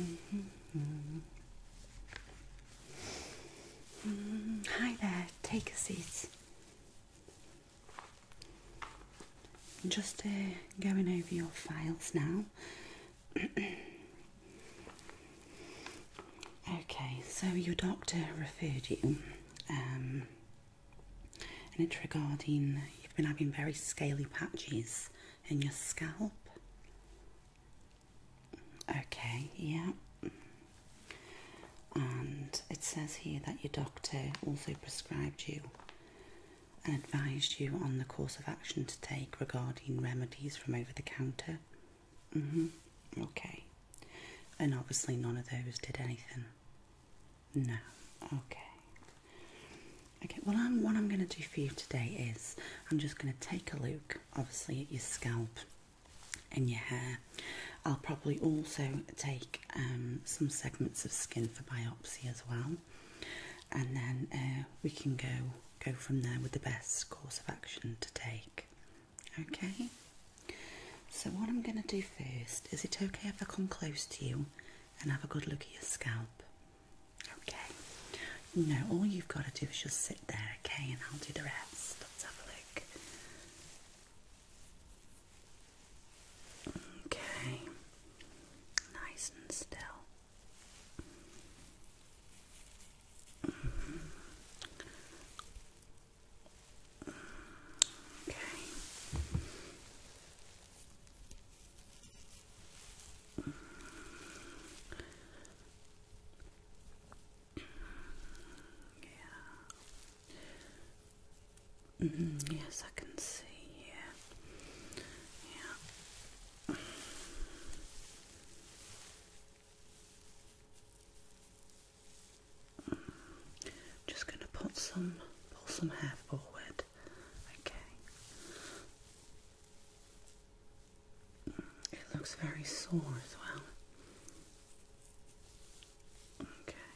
Mm-hmm. Hi there, take a seat. Just uh, going over your files now. okay, so your doctor referred you um, and it's regarding you've been having very scaly patches in your scalp. Okay, yeah. And it says here that your doctor also prescribed you and advised you on the course of action to take regarding remedies from over the counter. hmm Okay. And obviously, none of those did anything. No. Okay. Okay, well, what I'm going to do for you today is I'm just going to take a look, obviously, at your scalp and your hair. I'll probably also take um, some segments of skin for biopsy as well, and then uh, we can go go from there with the best course of action to take. Okay? So, what I'm going to do first is it okay if I come close to you and have a good look at your scalp? Okay. No, all you've got to do is just sit there, okay, and I'll do the rest. Let's have a look. Okay, nice and still. Mm-hmm. Okay. Yeah. -hmm. Yes, I can see here. Yeah. I'm just going to put some, pull some hair forward. Okay. It looks very sore as well. Okay.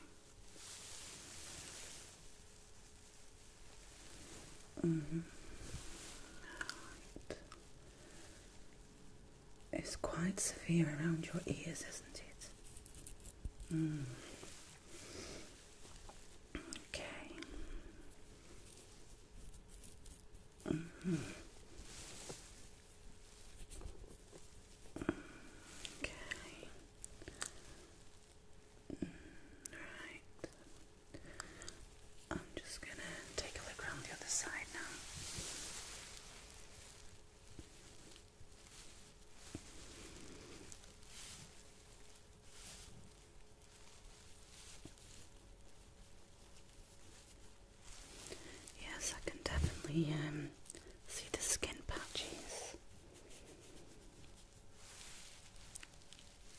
Mm -hmm. All right. It's quite severe around your ears, isn't it? Hmm. Okay. Mm-hmm. Okay. Mm. Right. I'm just going to take a look around the other side now. Yes, I can definitely um, see the skin patches.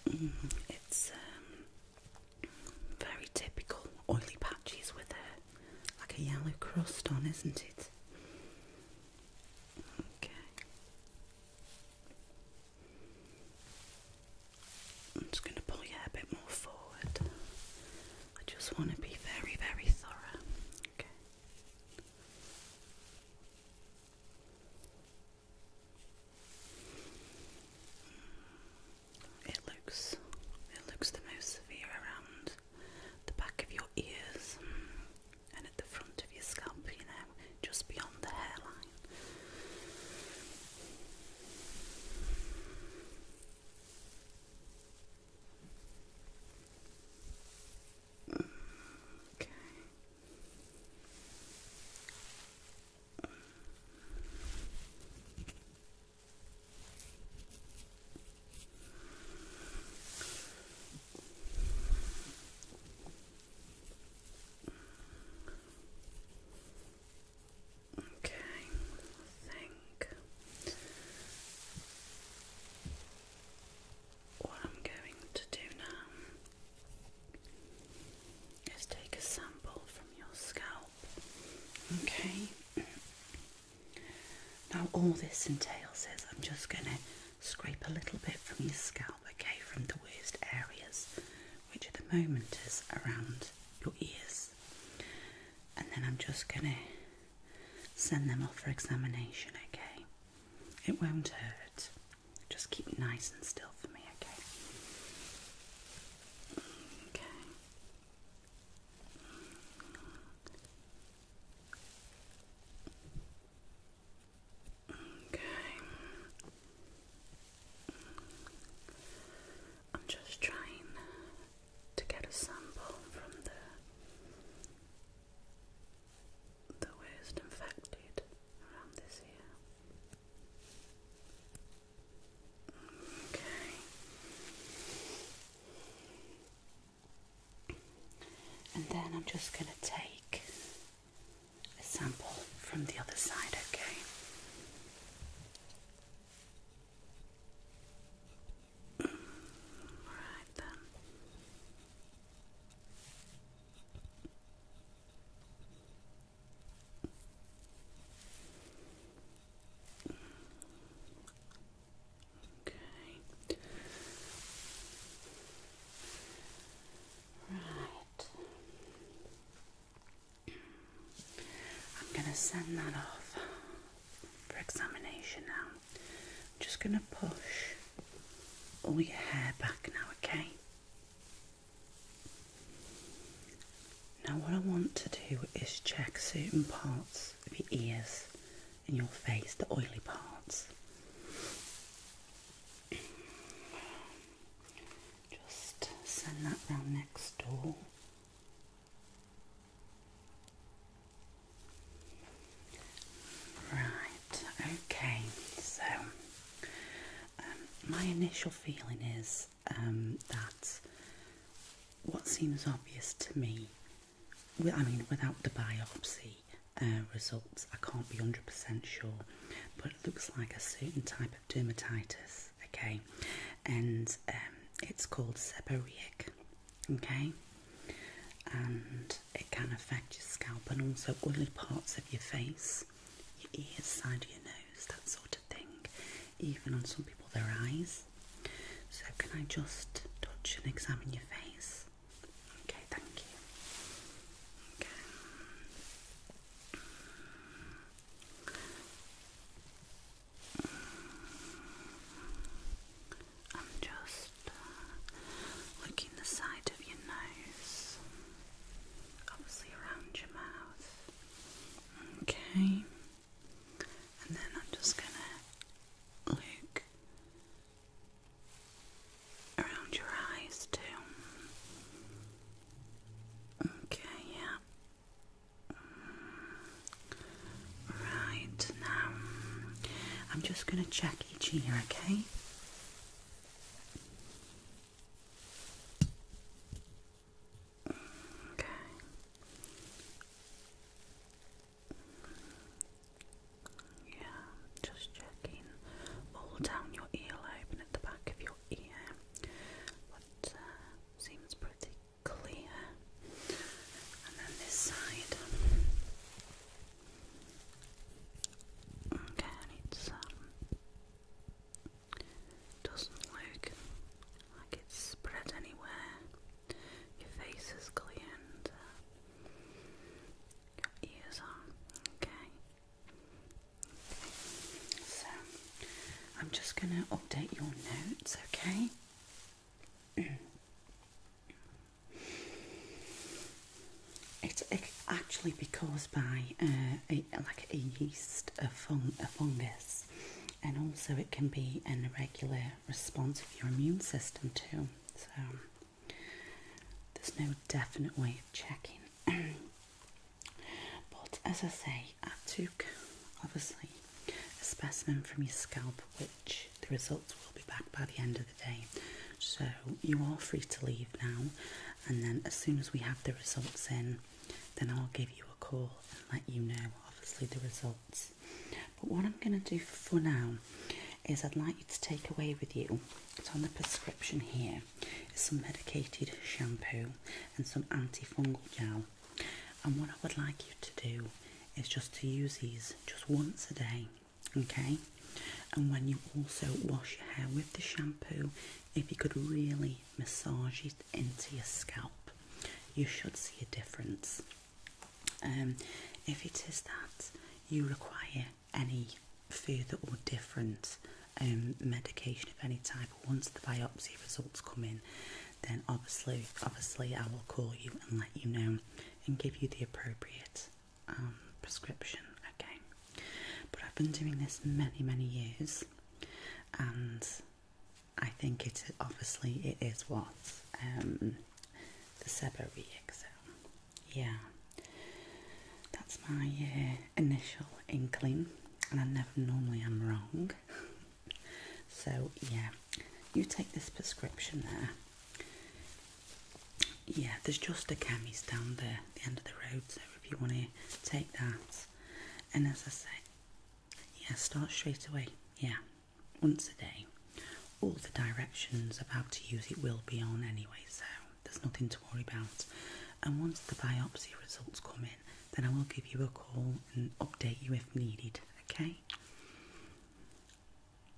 Mm, it's um, very typical oily patches with a like a yellow crust on, isn't it? Okay. I'm just going to pull your a bit more forward. I just want to be very, very thorough. Okay. It looks it looks the most severe around the back of your ears and at the front of your scalp, you know, just beyond the hairline. Okay. Okay, I think what I'm going to do now is take a sample from your scalp. Okay. Now all this entails is I'm just going to scrape a little bit from your scalp, okay, from the worst areas, which at the moment is around your ears. And then I'm just going to send them off for examination, okay? It won't hurt. Just keep nice and still for me, okay? Okay. Okay. I'm just trying to get a sample from the the worst infected around this year. Okay. And then I'm just going to take a sample from the other side, okay? All right then. Okay. Right. I'm going to send that off for examination now. I'm just going to push all oh, your hair back now, okay? Now, what I want to do is check certain parts of your ears and your face, the oily parts. Just send that round next door. Right, okay, so um, my initial feeling is um, that what seems obvious to me, I mean, without the biopsy uh, results, I can't be 100% sure, but it looks like a certain type of dermatitis, okay, and um, it's called seborrheic, okay, and it can affect your scalp and also oily parts of your face, your ears, side of your nose, that sort of thing, even on some people their eyes. So, can I just touch and examine your face? Okay, thank you. Okay. I'm just uh, looking the side of your nose, obviously around your mouth. Okay, and then I'm just gonna look around your eyes too. Okay, yeah. Right now, I'm just going to check each ear, okay? Okay. Yeah, just checking all down your earlobe and at the back of your ear. What uh, seems pretty clear, and then this side. Okay, and um, doesn't look like it's spread anywhere. Your face is clear uh, your ears are okay. So, I'm just going to update your notes, okay? It, it actually be caused by uh, like a yeast, a, fung, a fungus, and also it can be an irregular response of your immune system too. So there's no definite way of checking. but as I say, I took obviously a specimen from your scalp, which the results will be back by the end of the day. So you are free to leave now, and then as soon as we have the results in, then I'll give you a call and let you know, obviously, the results. But what I'm going to do for now is I'd like you to take away with you. It's on the prescription here. Is some medicated shampoo and some antifungal gel and what I would like you to do is just to use these just once a day, okay? And when you also wash your hair with the shampoo, if you could really massage it into your scalp, you should see a difference. Um, if it is that you require any further or different um, medication of any type once the biopsy results come in, then obviously, obviously, I will call you and let you know and give you the appropriate um, prescription. Okay, but I've been doing this many, many years, and I think it obviously it is what um, the seborrheic. Yeah, that's my uh, initial inkling, and I never normally am wrong so yeah you take this prescription there yeah there's just a camis down the end of the road so if you want to take that and as i say yeah start straight away yeah once a day all the directions of how to use it will be on anyway so there's nothing to worry about and once the biopsy results come in then I will give you a call and update you if needed. Okay.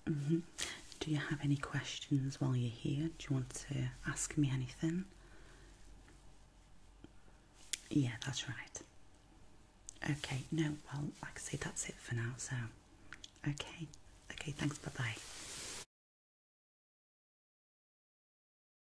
Mm-hmm. Do you have any questions while you're here? Do you want to ask me anything? Yeah, that's right. Okay, no, well, like I say, that's it for now. So, okay, okay, thanks, bye bye.